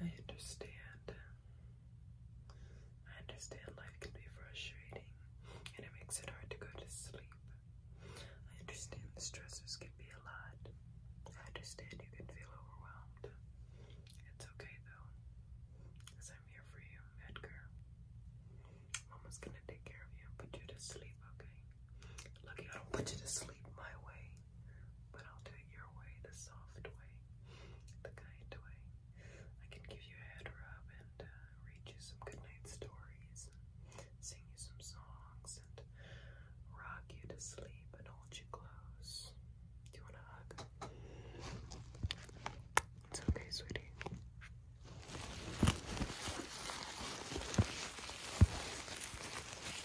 I understand. I understand life can be frustrating and it makes it hard to go to sleep. I understand the stresses can be a lot. I understand you can feel overwhelmed. It's okay though, because I'm here for you, Edgar. Mama's gonna take care of you put you to sleep, okay? Look, I don't want you to sleep my way, but I'll do it your way, the soft way, the kind way. I can give you a head rub and uh, read you some goodnight stories, sing you some songs, and rock you to sleep and hold you close. Do you want a hug? It's okay, sweetie.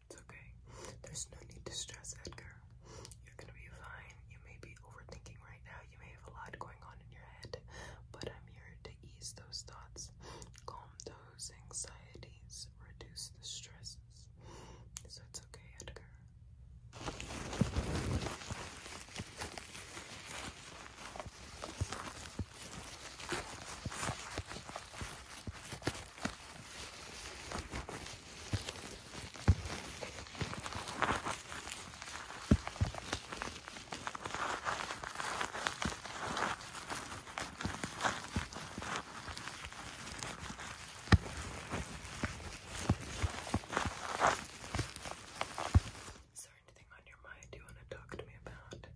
emotions, okay? There's no need to stress, Edgar. You're gonna be fine. You may be overthinking right now. You may have a lot going on in your head, but I'm here to ease those thoughts, calm those anxieties, reduce the stresses. So it's okay, Edgar. Is there anything on your mind you want to talk to me about?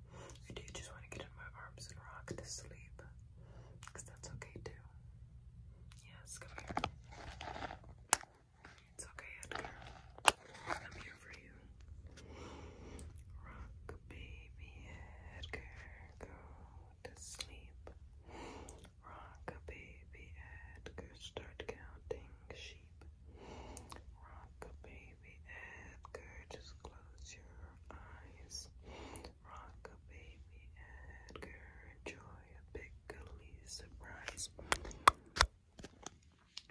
I do just want to get in my arms and rock to sleep that's okay too. Yes, come here. It's okay, Edgar. I'm here for you. Rock, baby Edgar, go to sleep. Rock, baby Edgar, start counting sheep. Rock, baby baby Edgar. Just close your eyes. Rock a baby Edgar. Enjoy a big gully surprise.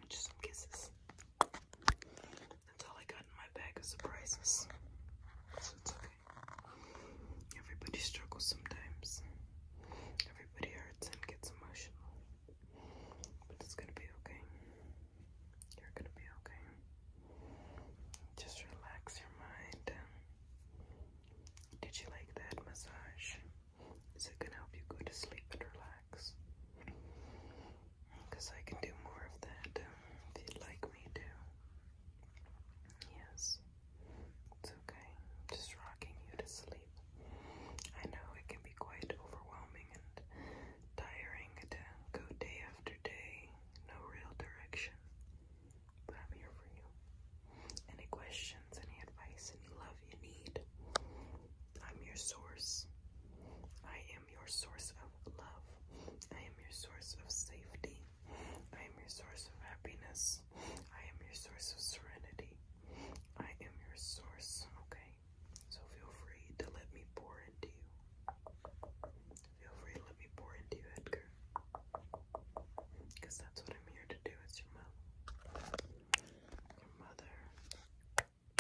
Just some kisses. That's all I got in my bag of surprises. So it's okay. Everybody struggles sometimes. Everybody hurts and gets emotional. But it's gonna be okay. You're gonna be okay. Just relax your mind. Did you like that massage? Is it gonna help you go to sleep and relax? Because I can do more of that um, if you'd like me to. Yes, it's okay. Just rocking you to sleep. I know it can be quite overwhelming and tiring to go day after day, no real direction. But I'm here for you. Any questions, any advice, any love you need, I'm your source. I am your source of love. I am your source of safety. I am your source of happiness. I am your source of serenity. I am your source, okay? So feel free to let me pour into you. Feel free to let me pour into you, Edgar. Because that's what I'm here to do. It's your mother. Your mother.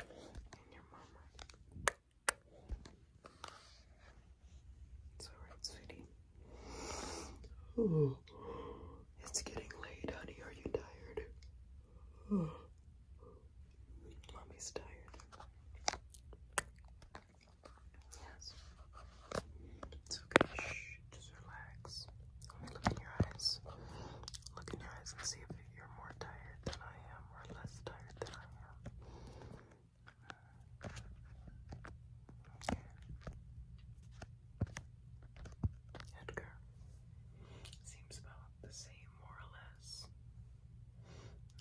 And your mama. It's alright, sweetie. It's getting late, honey. Are you tired? Mommy's tired. Yes. It's okay. Shh. Just relax. Let me look in your eyes. Look in your eyes and see if you're more tired than I am or less tired than I am. Edgar. Seems about the same, more or less.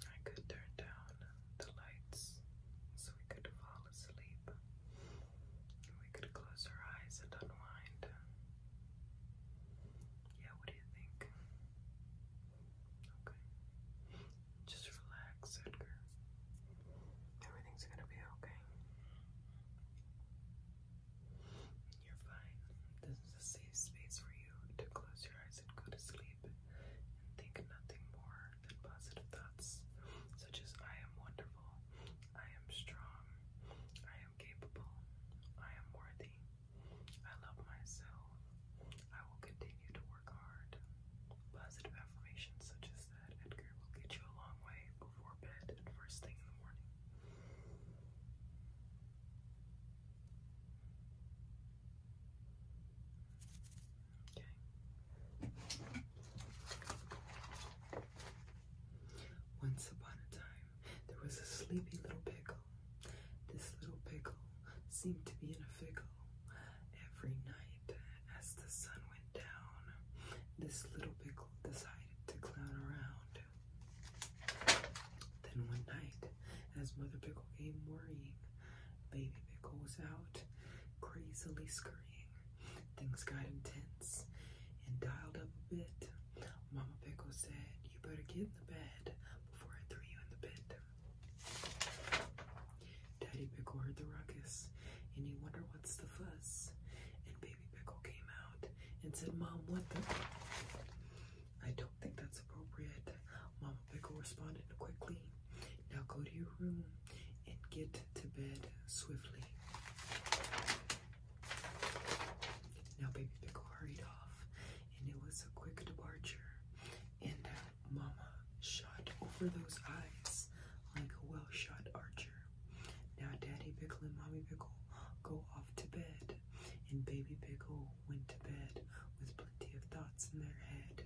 I could turn down the lights so we could fall asleep. We could close our eyes and unwind. Yeah, what do you think? Okay. Just relax, Edgar. Everything's gonna be okay. You're fine. This is a safe space for you to close your eyes and go to sleep and think nothing more than positive thoughts, such as I am wonderful, I am strong, I am capable, I am worthy, I love myself, I will continue to work hard. Positive affirmations such as that, Edgar, will get you a long way before bed and first thing in the morning. Once upon a time, there was a sleepy little pickle. This little pickle seemed to be in a fickle. Every night, as the sun went down, this little pickle decided to clown around. Then one night, as Mother Pickle came worrying, Baby Pickle was out, crazily scurrying. Things got intense and dialed up a bit. Mama Pickle said, You better get in the bed before I throw you in the bed. Daddy Pickle heard the ruckus and he wondered what's the fuss. And Baby Pickle came out and said, Mom, what the? I don't think that's appropriate. Mama Pickle responded quickly. Now go to your room and get to bed swiftly. Now Baby Pickle hurried off, and it was a quick departure. And uh, Mama shot over those eyes like a well shot archer. Now Daddy Pickle and Mommy Pickle go off to bed, and Baby Pickle went to bed with plenty of thoughts in their head.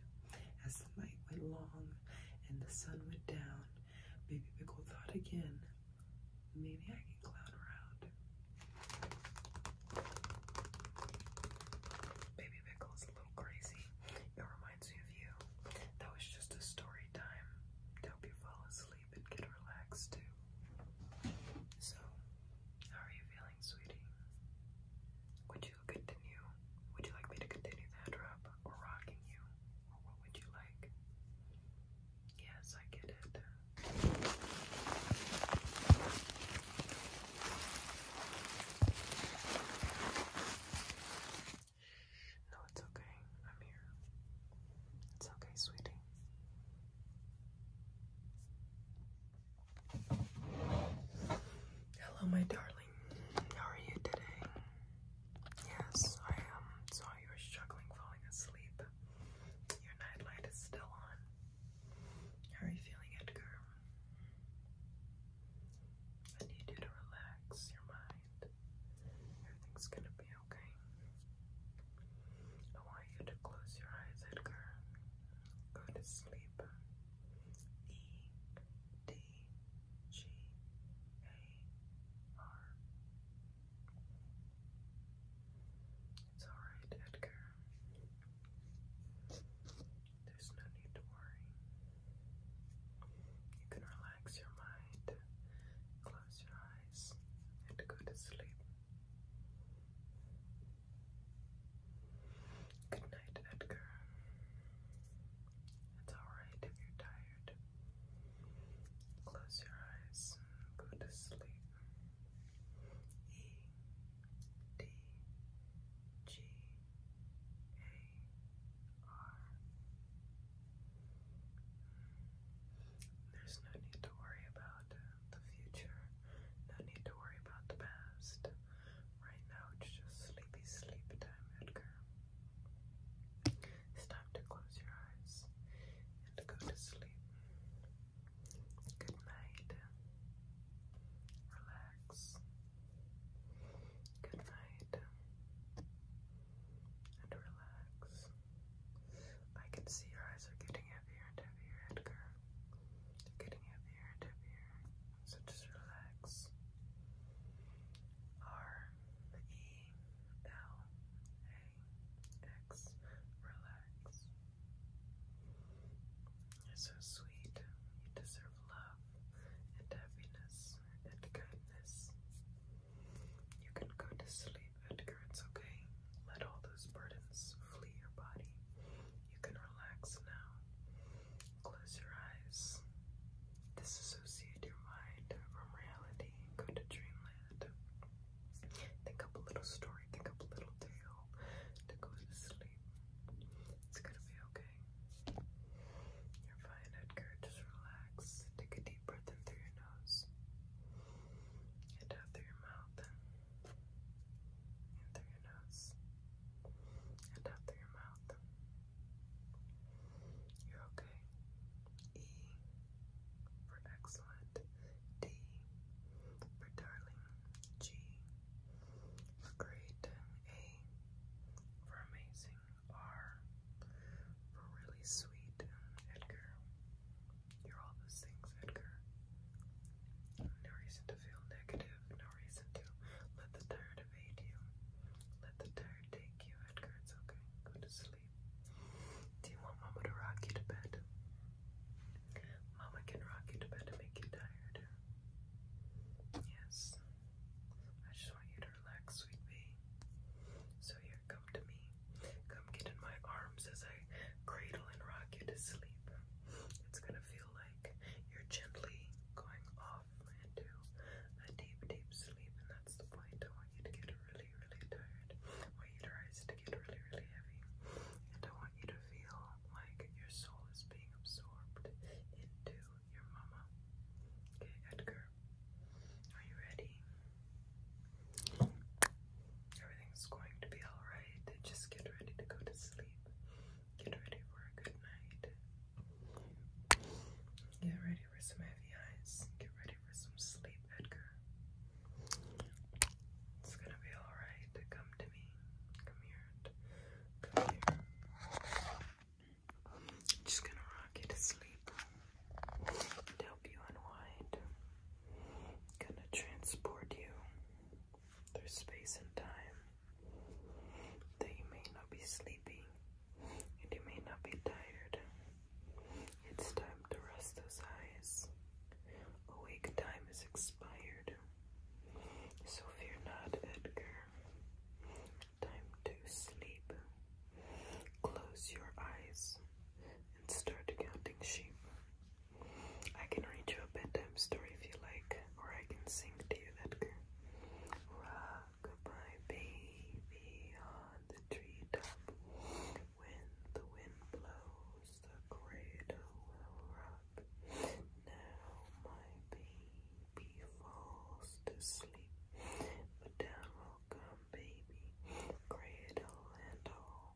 As the night went long and the sun went down, Baby Pickle thought again, maybe I can clown around. Baby Pickle is a little crazy. It reminds me of you. That was just a story time to help you fall asleep sleep and get relaxed too. So, how are you feeling, sweetie? Would you continue? Would you like me to continue that rub or rocking you? Or what would you like? Yes, I get it. No, it's okay. I'm here. It's okay, sweetie. Hello, my darling. How are you today? Yes, I am. Um, saw you were struggling falling asleep. Your nightlight is still on. How are you feeling, Edgar? I need you to relax your mind. Everything's gonna be okay. I want you to close your eyes, Edgar. Go to sleep. E D G A R. It's alright, Edgar. There's no need to worry. You can relax your mind, close your eyes, and go to sleep. Good night, Edgar. It's alright if you're tired. Close your eyes, go to sleep. E D G A there's no need to worry about the future, no need to worry about the past. Right now it's just sleepy sleep time, Edgar. It's time to close your eyes and go to sleep. Good night. Relax. Good night and relax. I can see your eyes are getting heavier and heavier, Edgar. They're getting heavier and heavier. So just relax. R E L A X. Relax. You're so sweet. You deserve love and happiness and kindness. You can go to sleep, Edgar, it's okay. Let all those burdens flee your body. You can relax now. Close your eyes. Disassociate your mind from reality. Go to dreamland. Think up a little story, think up a little tale to go to sleep. It's gonna be okay? You're fine, Edgar. Just relax. Take a deep breath in through your nose and out through your mouth. In through your nose and out through your mouth. You're okay. E for excellent. D for darling. G for great. A for amazing using really sweet, Edgar. You're all those things, Edgar. No reason to feel negative, no reason to let the tired evade you. Let the tired take you, Edgar. It's okay. Go to sleep. Do you want Mama to rock you to bed? Mama can rock you to bed and make you tired. Yes. I just want you to relax, sweet bee. So you come to me. Come get in my arms as I cradle and rock you to sleep. It's gonna feel like you're gently going off into a deep, deep sleep, and that's the point. I want you to get really, really tired. I want your eyes to get really, really heavy. And I want you to feel like your soul is being absorbed into your mama. Okay, Edgar. Are you ready? Everything's going to be alright. Just get ready to go to sleep. Get ready for a good night. Get ready for some heavy eyes. Get ready for some sleep, Edgar. It's gonna be alright. Come to me. Come here just gonna rock you to sleep help you unwind. Gonna transport you through space and time. That you may not be sleepy and you may not be tired. It's time to rest those eyes. Awake time is expired good. So fear not, Edgar. Time to sleep. Close your eyes and start counting sheep. I can read you a bedtime story if you like, or I can sing to you, Edgar. Rock my baby on the treetop. When the wind blows, the cradle will rock up. Now, my baby falls to sleep. But down come, baby, cradle and all.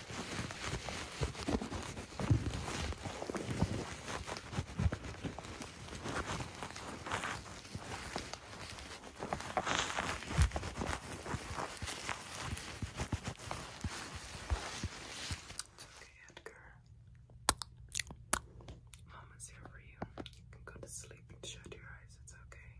okay, Edgar. Mama's here for you. You can go to sleep and shut your eyes. It's okay.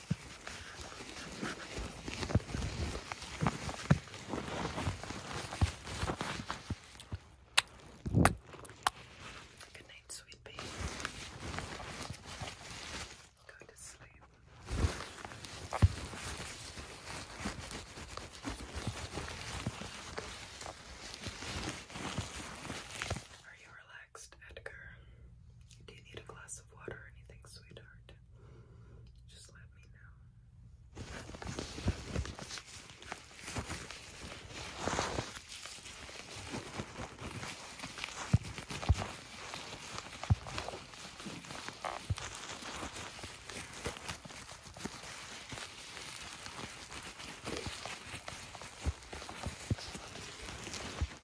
Good night, sweet pea. Go to sleep. Are you Next, Edgar. Do you need a glass of water or anything, sweetheart? Just let me know.